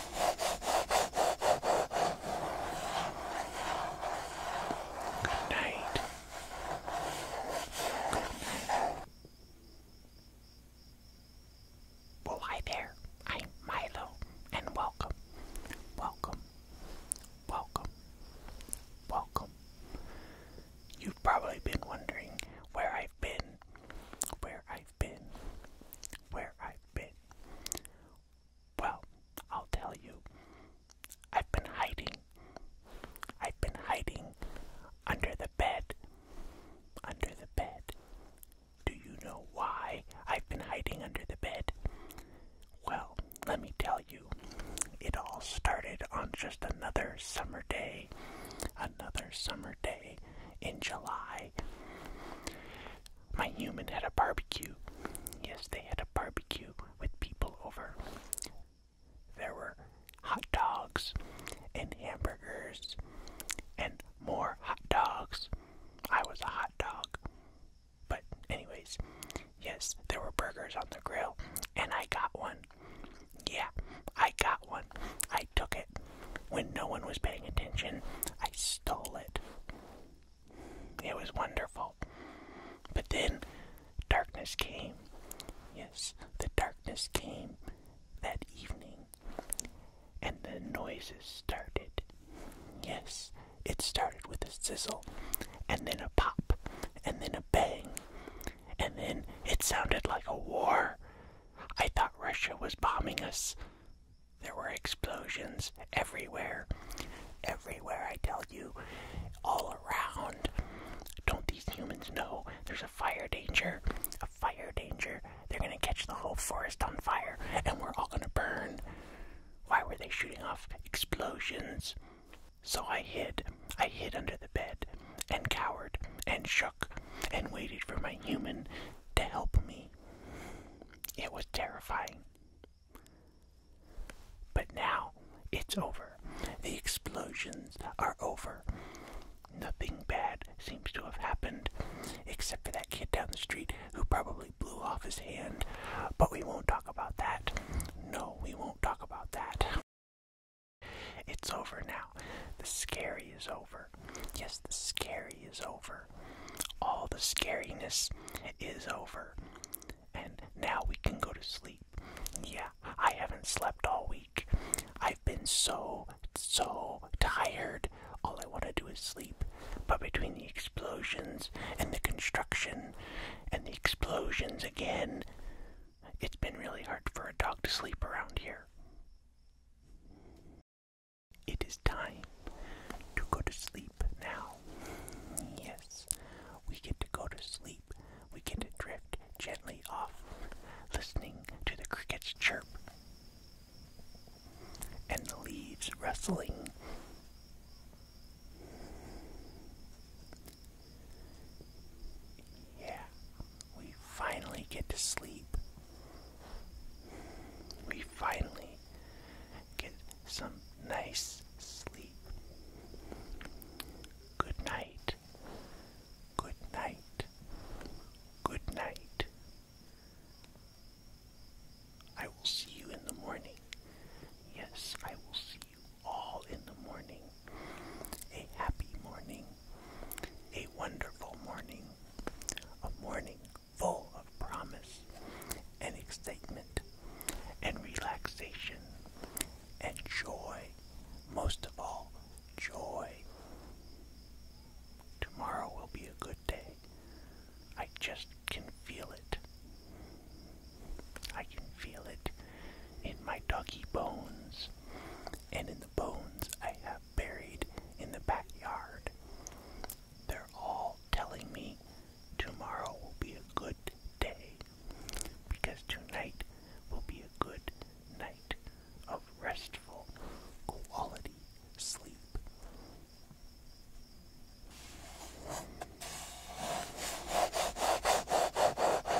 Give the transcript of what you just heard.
Good night. Well, hi there. I'm Milo, and welcome, welcome, welcome, welcome. You've probably been wondering where I've been, where I've been, where I've well, I'll tell you. I've been hiding. I've been hiding under the bed. Under the bed. Do you know why I've been hiding under the bed? Well, let me tell you. It all started on just another summer day. Another summer birthday in July. My human had a barbecue. Yes, they had a barbecue with people over. There were hot dogs and hamburgers and more hot dogs. I was a hot dog. But, anyways, yes, there were burgers on the grill, and I got one. Yeah, I got one. I took it. When no one was paying attention, I stole it. It was wonderful. But then darkness came. Yes, the darkness came that evening. And the noises started. Yes, it started with a sizzle, and then a pop, and then a bang. And then it sounded like a war. I thought Russia was bombing us. There were explosions everywhere. Everywhere, I tell you. All around. Don't these humans know there's a fire danger? A fire danger. They're gonna catch the whole forest on fire and we're all gonna burn. Why were they shooting off explosions? So I hid. I hid under the bed and cowered and shook and waited for my human to help me. It was terrifying. But now it's over. The explosions are over. Nothing bad seems to have happened, except for that kid down the street who probably blew off his hand. But we won't talk about that. No, we won't talk about that. It's over now. The scary is over. Yes, the scary is over. All the scariness is over. And now we can go to sleep. Yeah, I haven't slept all week. I've been so, so tired. All I want to do is sleep. But between the explosions and the construction and the explosions again, it's been really hard for a dog to sleep around here. It is time to go to sleep now. Yes, we get to go to sleep. We get to drift gently off, listening to the crickets chirp and the leaves rustling. Yeah, we finally get to sleep. We finally get some nice sleep. Good night. Good night. Good night. I will see you in the morning. Yes, I will see you all in the morning a happy morning, a wonderful morning, a morning full of promise and excitement and relaxation and joy, most of all, joy. Tomorrow will be a good day. I just can feel it. I can feel it in my doggy bones and in the bones I have buried in the backyard. They're all telling me tomorrow will be a good day because tonight will be a good night of restful quality sleep.